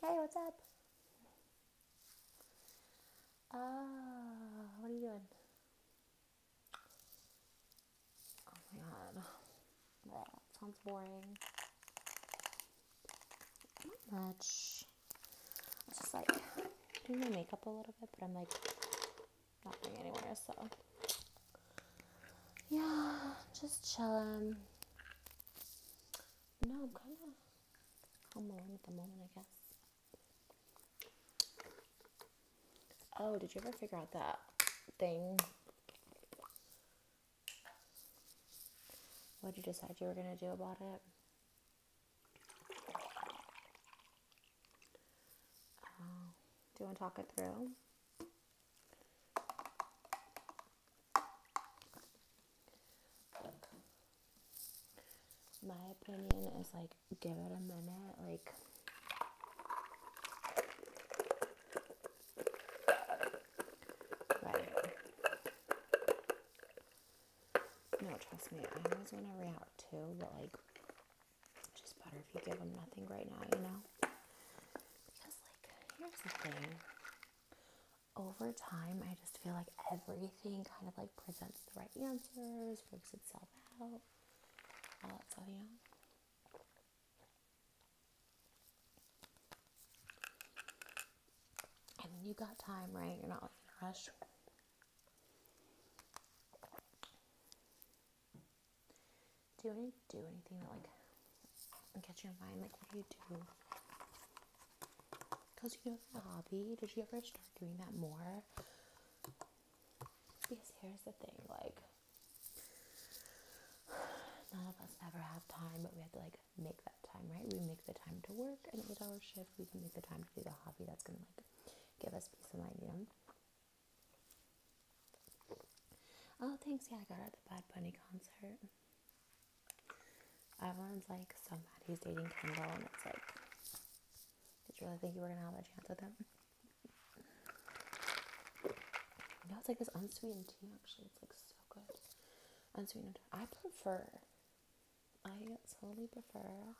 Hey, what's up? Ah, uh, what are you doing? Oh my god. sounds boring. Not much. I'm just like doing my makeup a little bit, but I'm like not going anywhere, so. Yeah, just chilling. No, kind of home alone at the moment, I guess. Oh, did you ever figure out that thing? What did you decide you were going to do about it? Oh. do you want to talk it through? My opinion is like give it a minute, like No, trust me, I always want to react too, but like just better if you give them nothing right now, you know? Because like here's the thing over time, I just feel like everything kind of like presents the right answers, works itself out, all that stuff, you know. And you got time, right? You're not like Do any do anything that like and catch your mind. Like, what do you do? Because you know it's a hobby. Did you ever start doing that more? Because here's the thing, like, none of us ever have time, but we have to like make that time, right? We make the time to work an eight-hour shift. We can make the time to do the hobby that's gonna like give us peace of mind, you know. Oh, thanks. Yeah, I got her at the Bad Bunny concert. Everyone's like so mad he's dating Kendall, and it's like, did you really think you were gonna have a chance with him? No, it's like this unsweetened tea. Actually, it's like so good. Unsweetened. I prefer. I totally prefer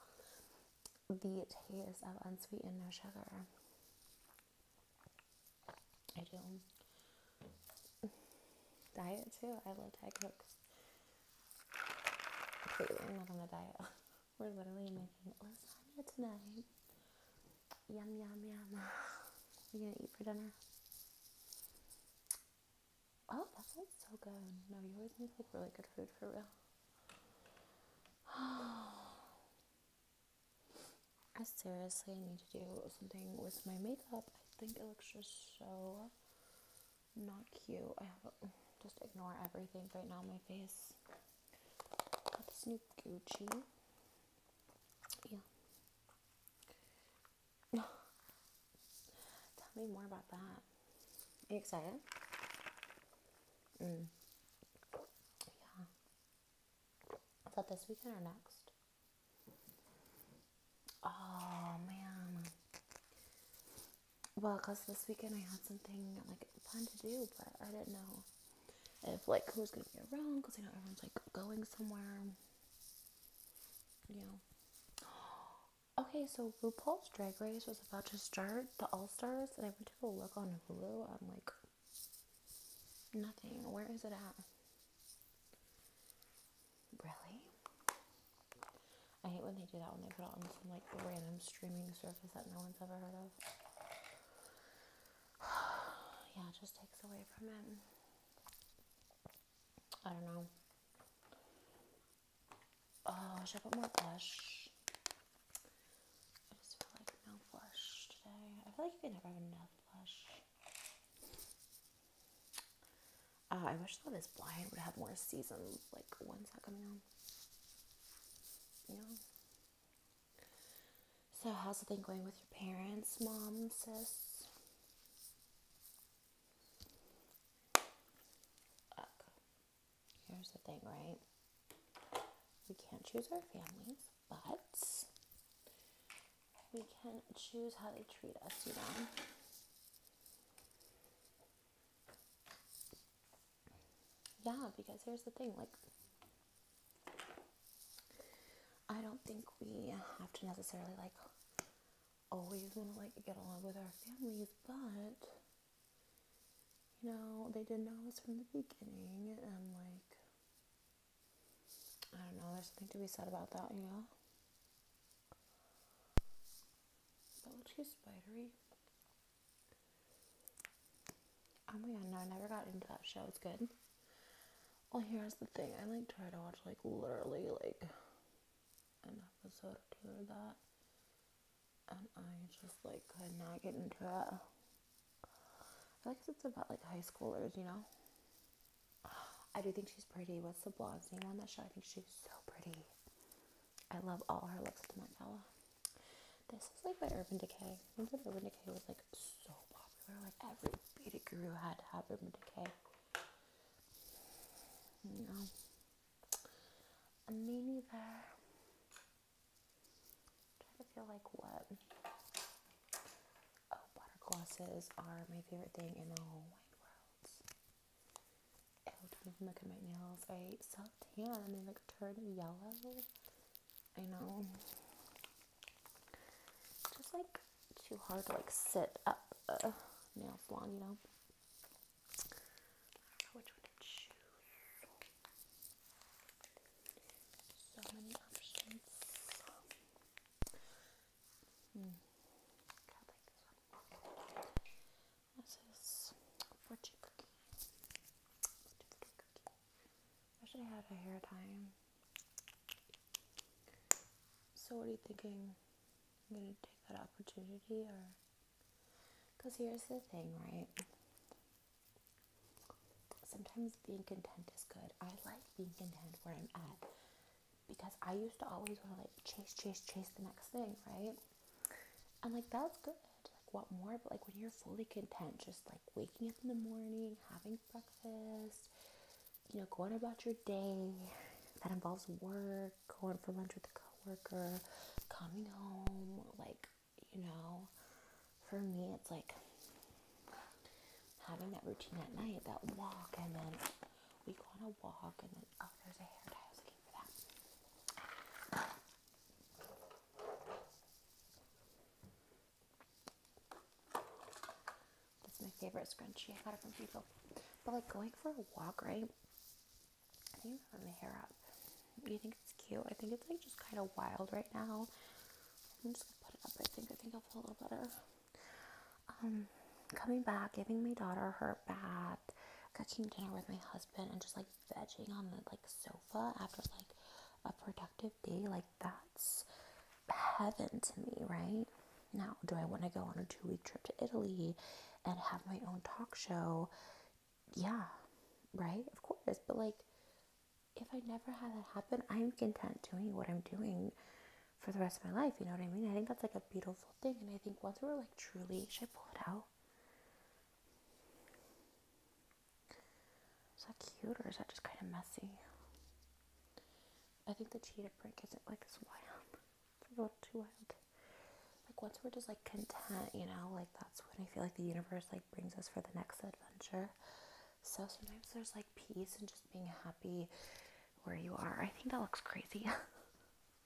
the taste of unsweetened no sugar I don't diet too. I love Thai Coke. Clearly, not on a diet. We're literally making lasagna tonight. Yum yum yum. What are you gonna eat for dinner? Oh, that sounds so good. No, you always make like really good food for real. I seriously need to do something with my makeup. I think it looks just so not cute. I have a, just ignore everything right now. My face. Got this new Gucci. Yeah. Tell me more about that. you excited? Mm. Yeah. Is that this weekend or next? Oh man. Well, cause this weekend I had something like planned to do, but I didn't know if like who's gonna be around, cause you know everyone's like going somewhere. You know. Okay, so RuPaul's Drag Race was about to start the All Stars, and I went to look on Hulu. I'm like, nothing. Where is it at? Really? I hate when they do that when they put it on some like random streaming service that no one's ever heard of. yeah, it just takes away from it. I don't know. Oh, should I put more blush? I just feel like no blush today. I feel like you can never have enough blush. Uh, I wish that this blind would have more seasons. Like, when's that coming on? You So, how's the thing going with your parents, mom, sis? here's the thing, right? We can't choose our families but we can choose how they treat us, you know. Yeah, because here's the thing like, I don't think we have to necessarily like always want to like get along with our families, but you know, they didn't know us from the beginning, and like, I don't know, there's something to be said about that, you know? That looks too spidery. Oh my god, no, I never got into that show. It's good. Well, here's the thing. I like try to watch like literally like an episode or two of that. And I just like could not get into it. I guess it's about like high schoolers, you know? I do think she's pretty. What's the blonde's name on that show? I think she's so pretty. I love all her looks with This is like by Urban Decay. Remember Urban Decay was like so popular? Like every beauty guru had to have Urban Decay. You know. And trying to feel like what Oh, butter glosses are my favorite thing in the whole wide world. Ew, don't even my nails. I self-tan. They like turn yellow. I know. Just like too hard to like sit up a nail salon, you know which one to choose. So many options this is fortune cookie. Fortune cookie. Wish a hair tie. So what are you thinking? gonna take that opportunity or because here's the thing, right? sometimes being content is good. I like being content where I'm at because I used to always want to like chase, chase, chase the next thing, right? And like that's good. Like what more? But like when you're fully content, just like waking up in the morning, having breakfast, you know, going about your day that involves work, going for lunch with a coworker, coming home, like, you know, for me it's like having that routine at night, that walk, and then we go on a walk, and then oh, there's a hair tie. I was looking for that. That's my favorite scrunchie. I got it from people. But like going for a walk, right? I think i my hair up. You think it's cute? I think it's like just kind of wild right now. I'm just gonna put it up. I think I think I'll feel a little better. Um, coming back, giving my daughter her bath, cooking dinner with my husband, and just like vegging on the like sofa after like a productive day. Like that's heaven to me, right? Now, do I want to go on a two week trip to Italy and have my own talk show? Yeah, right? Of course. But like, if I never had that happen, I'm content doing what I'm doing for the rest of my life. You know what I mean? I think that's like a beautiful thing. And I think once we're like truly, should I pull it out? Is that cute or is that just kind of messy? I think the cheetah print isn't like as wild. a little too wild. Like once we're just like content, you know, like that's when I feel like the universe like brings us for the next adventure. So sometimes there's like peace and just being happy where you are. I think that looks crazy.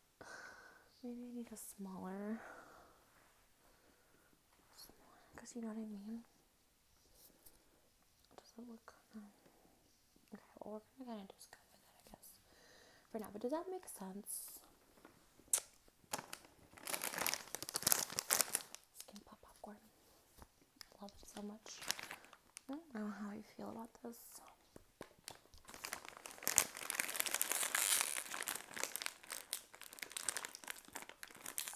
Maybe I need a smaller, smaller, because you know what I mean. Does it look? Um, okay, well we're gonna kind of just go with it, I guess, for now. But does that make sense? Skin pop popcorn. Love it so much. I don't know how you feel about this.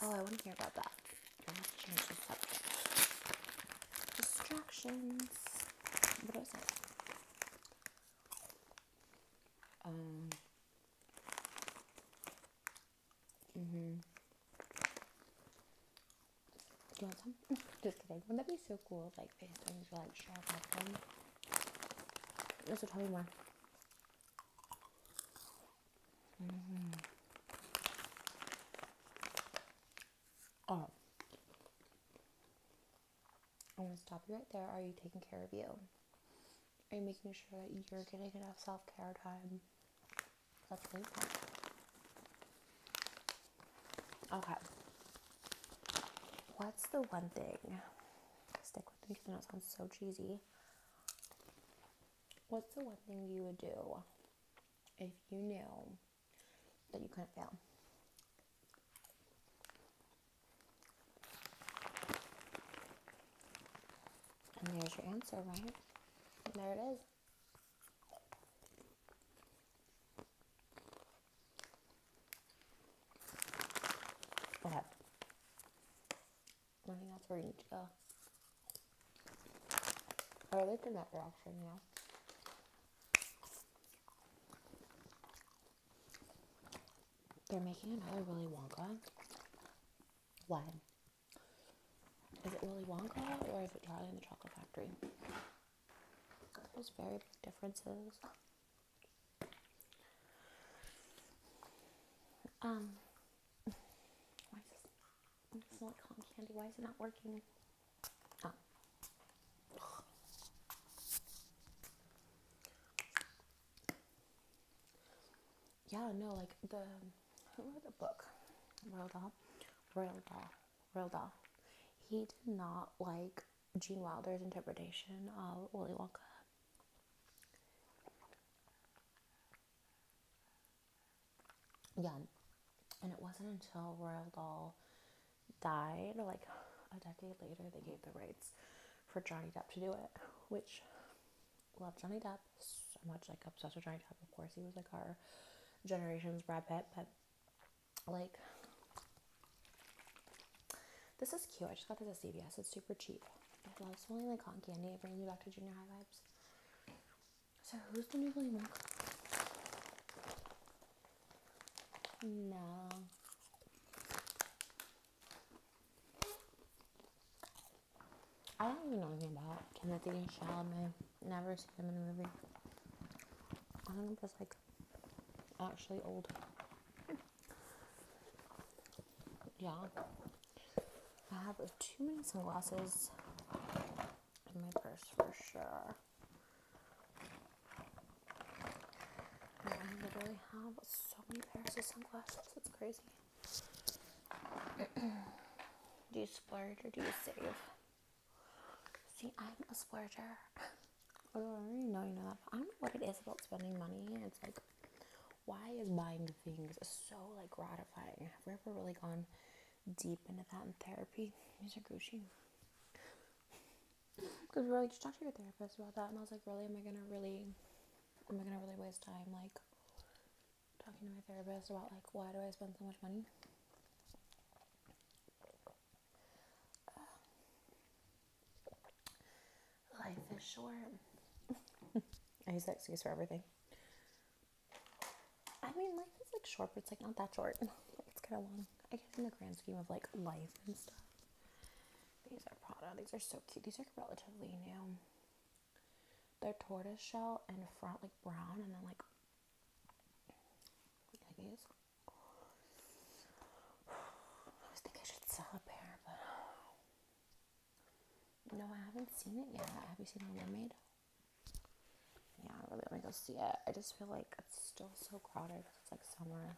Oh, I wouldn't hear about that. Distractions. What was it? Um. Mm-hmm. Do you want some? Mm. Just kidding. Wouldn't that be so cool like, FaceTime were, like, shared my phone? This will probably one. Mm-hmm. Oh. I'm going to stop you right there. Are you taking care of you? Are you making sure that you're getting enough self care time? Okay. What's the one thing? Stick with me because I sounds so cheesy. What's the one thing you would do if you knew that you couldn't fail? And there's your answer, right? there it is. Okay. I think that's where you go. Or at least in yeah. They're making another Willy Wonka. Why? Is it Willy Wonka or is it Charlie in the Chocolate Factory? There's very big differences. Um, why is this? Why is it not working? Oh yeah, no, like the who wrote the book? Royal Doll, Royal Doll, Roald Dahl. He did not like Gene Wilder's interpretation of Willy Wonka. Yeah, and it wasn't until Royal Doll died, like a decade later, they gave the rights for Johnny Depp to do it, which Love Johnny Depp so much, like obsessed with Johnny Depp. Of course, he was like our generation's Brad Pitt, but like this is cute. I just got this at CVS. It's super cheap. I love smelling like cotton candy. It brings me back to junior high vibes. So who's the new Willy Wonka? No. I don't even know anything about Timothy and Chalamet. Never seen them in a movie. I don't know if it's like actually old. Yeah. I have too many sunglasses in my purse for sure. I literally have so many pairs of sunglasses. It's crazy do you splurge or do you save? See, I'm a splurger. I you know that. I don't know what it is about spending money. It's like, why is buying things so like gratifying? Have we ever really gone deep into that in therapy? Mr. Gucci. Because we were like, just talk to your therapist about that, and I was like, really, am I gonna really, am I gonna really waste time like talking to my therapist about like why do I spend so much money. Uh, life is short. I use that excuse for everything. I mean, life is like short, but it's like not that short. it's kind of long. I guess in the grand scheme of like life and stuff. These are Prada. These are so cute. These are relatively new. Their tortoise shell in front, like brown, and then like these. I was thinking I should sell a pair, but no, I haven't seen it yet. Have you seen the mermaid? Yeah, I really want to go see it. I just feel like it's still so crowded it's like summer.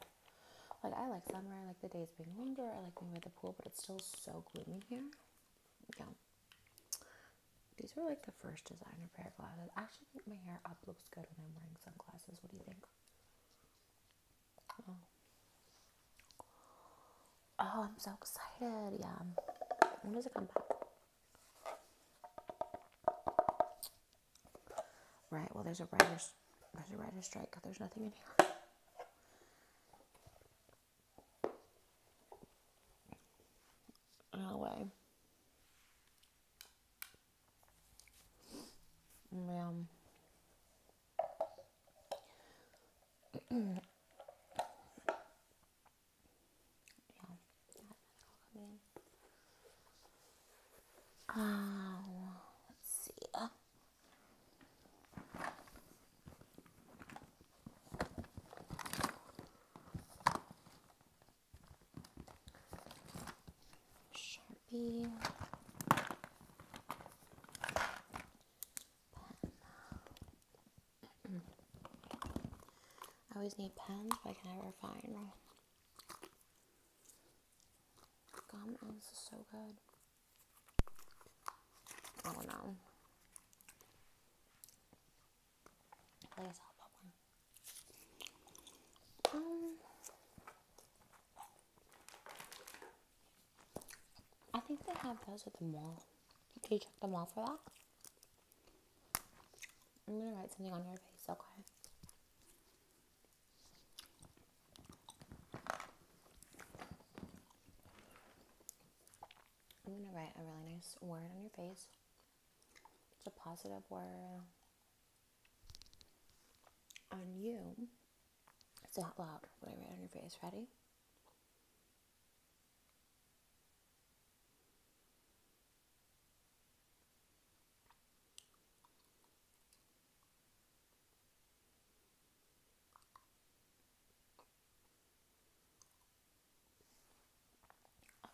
Like I like summer. I like the days being longer. I like being at the pool, but it's still so gloomy here yeah. These were like the first designer pair of glasses. I actually think my hair up looks good when I'm wearing sunglasses. What do you think? Oh, oh I'm so excited. Yeah. When does it come back? Right, well there's a writer's there's a writer's strike. There's nothing in here. Anyway. yeah. Um, let's see. Sharpie, pen. I always need pens, but I can never find them. Gum ends is so good. Oh, I don't know. Um, I think they have those at the mall. Can you check the mall for that? I'm gonna write something on your face, okay? I'm going to write a really nice word on your face. It's a positive word on you. It's out loud What I write on your face. Ready?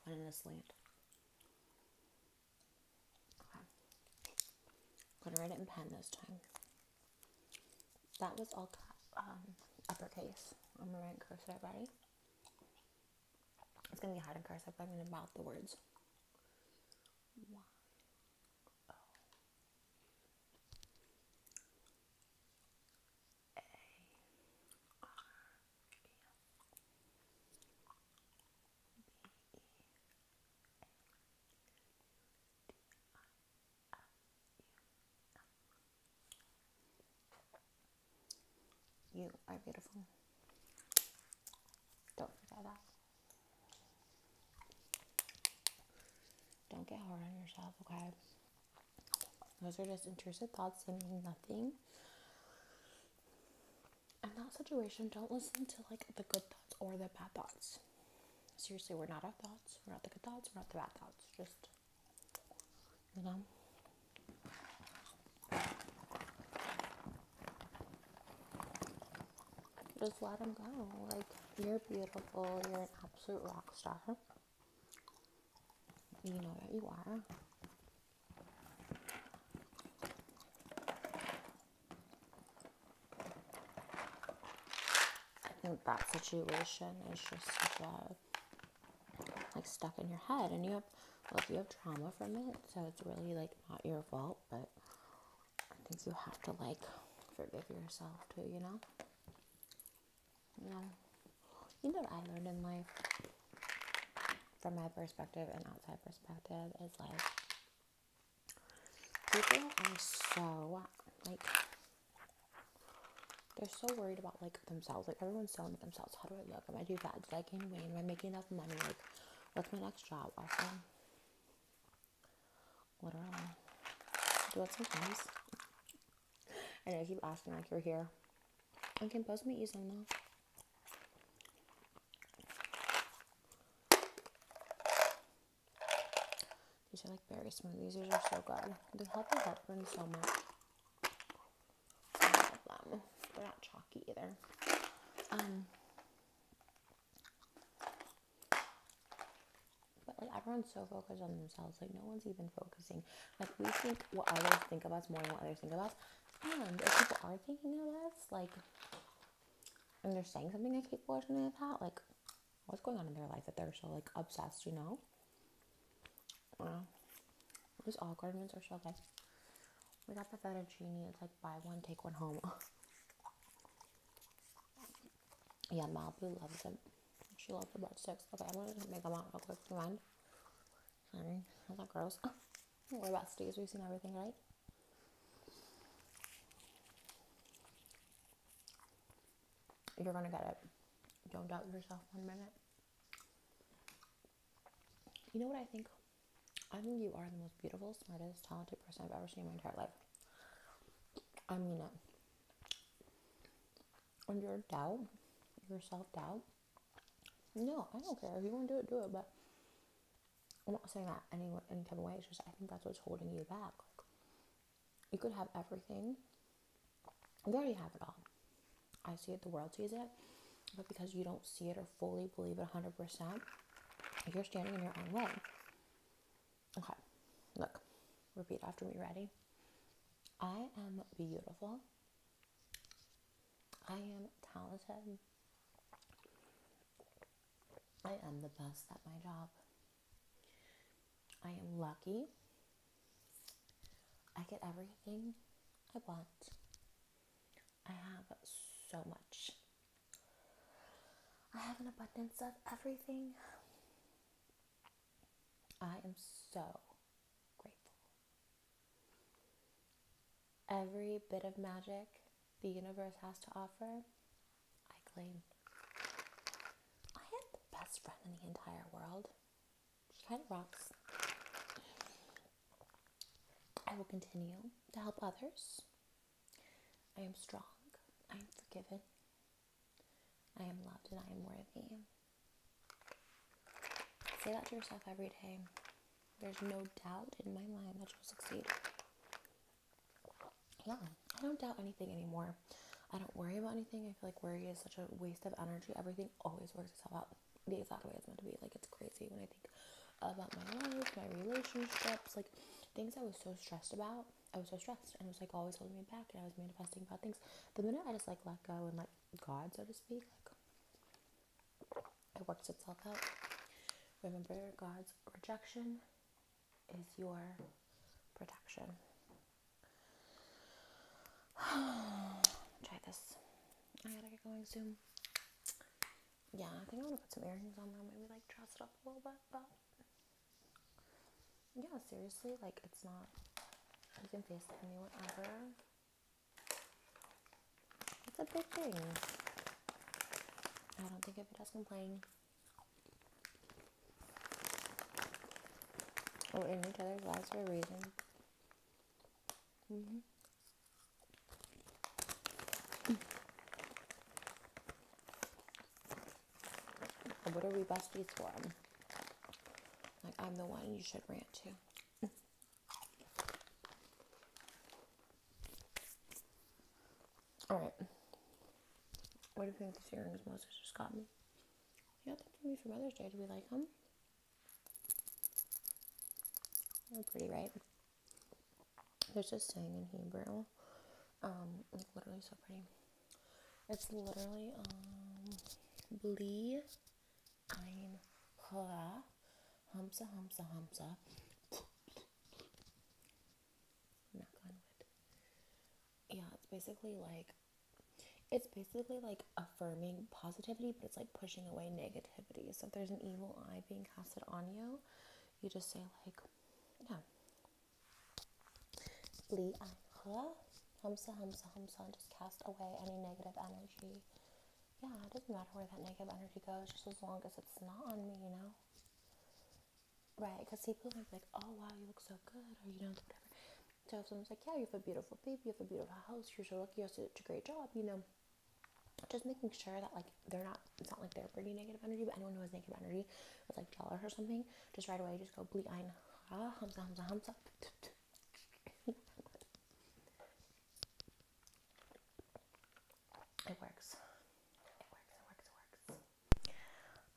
I'm gonna just land. Okay. I'm gonna write it in pen this time. That was all um, uppercase. I'm gonna write cursive already. It's gonna be hard to cursive, I'm gonna mouth the words. Oh, you are beautiful. Don't forget that. Don't get hard on yourself, okay? Those are just intrusive thoughts, they mean nothing. In that situation, don't listen to like the good thoughts or the bad thoughts. Seriously, we're not our thoughts. We're not the good thoughts. We're not the bad thoughts. Just, you know. Just let them go. Like, you're beautiful. You're an absolute rock star. You know that you are. I think that situation is just like stuck in your head, and you have, like you have trauma from it, so it's really like not your fault, but I think you have to like forgive yourself too, you know? You know, you know what I learned in life from my perspective and outside perspective is like people are so like they're so worried about like themselves. Like everyone's so into themselves. How do I look? Am I too fat? Did I gain weight? Am I making enough money? Like, what's my next job? Also, what are I? Do it sometimes. I know, I keep asking like you're here. I can post me easily now. These are like berry smoothies. These are so good. They help the heartburn so much. I love them. They're not chalky either. Um, but like everyone's so focused on themselves, like no one's even focusing. Like we think what others think of us more than what others think of us. And if people are thinking of us, like and they're saying something like keep are something like that, like what's going on in their life that they're so like obsessed, you know? Wow. These awkward ones are so good. We got the genie. It's like buy one, take one home. Yeah, Malibu loves them. She loves the butt sticks. Okay, I'm gonna make them out real quick. Do you mind? Sorry, is that gross? Oh, don't worry about stays. We've seen everything, right? You're gonna get it. Don't doubt yourself one minute. You know what I think? I think you are the most beautiful, smartest, talented person I've ever seen in my entire life. I mean it and your doubt, your self doubt. No, I don't care. If you want to do it, do it. But I'm not saying that any any type of way. It's just I think that's what's holding you back. you could have everything. There You have it all. I see it. The world sees it. But because you don't see it or fully believe it 100%, you're standing in your own way. Okay, look, repeat after me. Ready? I am beautiful. I am talented. I am the best at my job. I am lucky. I get everything I want. I have so much. I have an abundance of everything. I am so grateful. Every bit of magic the universe has to offer, I claim. I have the best friend in the entire world. She kind rocks. I will continue to help others. I am strong. I am forgiven. I am loved and I am worthy. Say that to yourself every day. There's no doubt in my mind that you'll succeed. Yeah, I don't doubt anything anymore. I don't worry about anything. I feel like worry is such a waste of energy. Everything always works itself out the exact way it's meant to be. Like, it's crazy when I think about my life, my relationships, like things I was so stressed about I was so stressed and it was like always holding me back and I was manifesting bad things. The minute I just like let go and let God, so to speak, like it works itself out. Remember, God's rejection is your protection. Try this. I gotta get going soon. Yeah, I think I want to put some earrings on Maybe like dress it up a little bit, yeah, seriously, like it's not. You can face me whenever. It's a big thing. I don't think it does complain. we oh, in each other's lives for a reason. Mm-hmm what are we busties for? Like, I'm the one you should rant to. All right. What do you think these earrings Moses just got me? You got them for me for Mother's Day. Do we like them? They're pretty, right? There's this saying in Hebrew now. Um, literally so pretty. It's literally um Blee Ein Hla Humsa Humsa Humsa. Knock on wood. Yeah, it's basically like it's basically like affirming positivity, but it's like pushing away negativity. So if there's an evil eye being casted on you, you just say like, yeah, Li'ancha. Hamsa, Hamsa, Hamsa. Just cast away any negative energy. Yeah, it doesn't matter where that negative energy goes, just as long as it's not on me, you know? Right, because people are like, oh wow, you look so good, or you know, whatever. So if someone's like, yeah, you have a beautiful baby, you have a beautiful house, you're so lucky, you have such a great job, you know, just making sure that like they're not, it's not like they're bringing negative energy, but anyone who has negative energy, it's like Jala or something, just right away, just go Blee ah, it works. It works. It works. It works.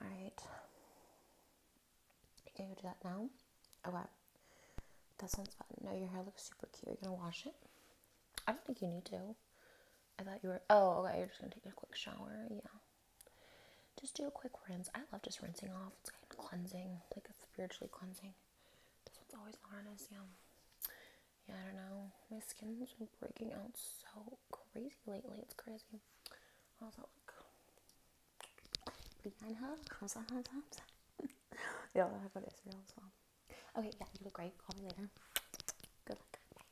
All right. You gonna go do that now? Oh That sounds fun. No, your hair looks super cute. you gonna wash it? I don't think you need to. I thought you were. Oh, okay. You're just gonna take a quick shower. Yeah. Just do a quick rinse. I love just rinsing off. It's kind of cleansing, like it's spiritually cleansing. This one's always honest, yeah. Yeah, I don't know. My skin's been breaking out so crazy lately. It's crazy. How's that look? Behind her? How's that? yeah, I'll have it Israel Okay, yeah, you look great. Call me later. Good luck.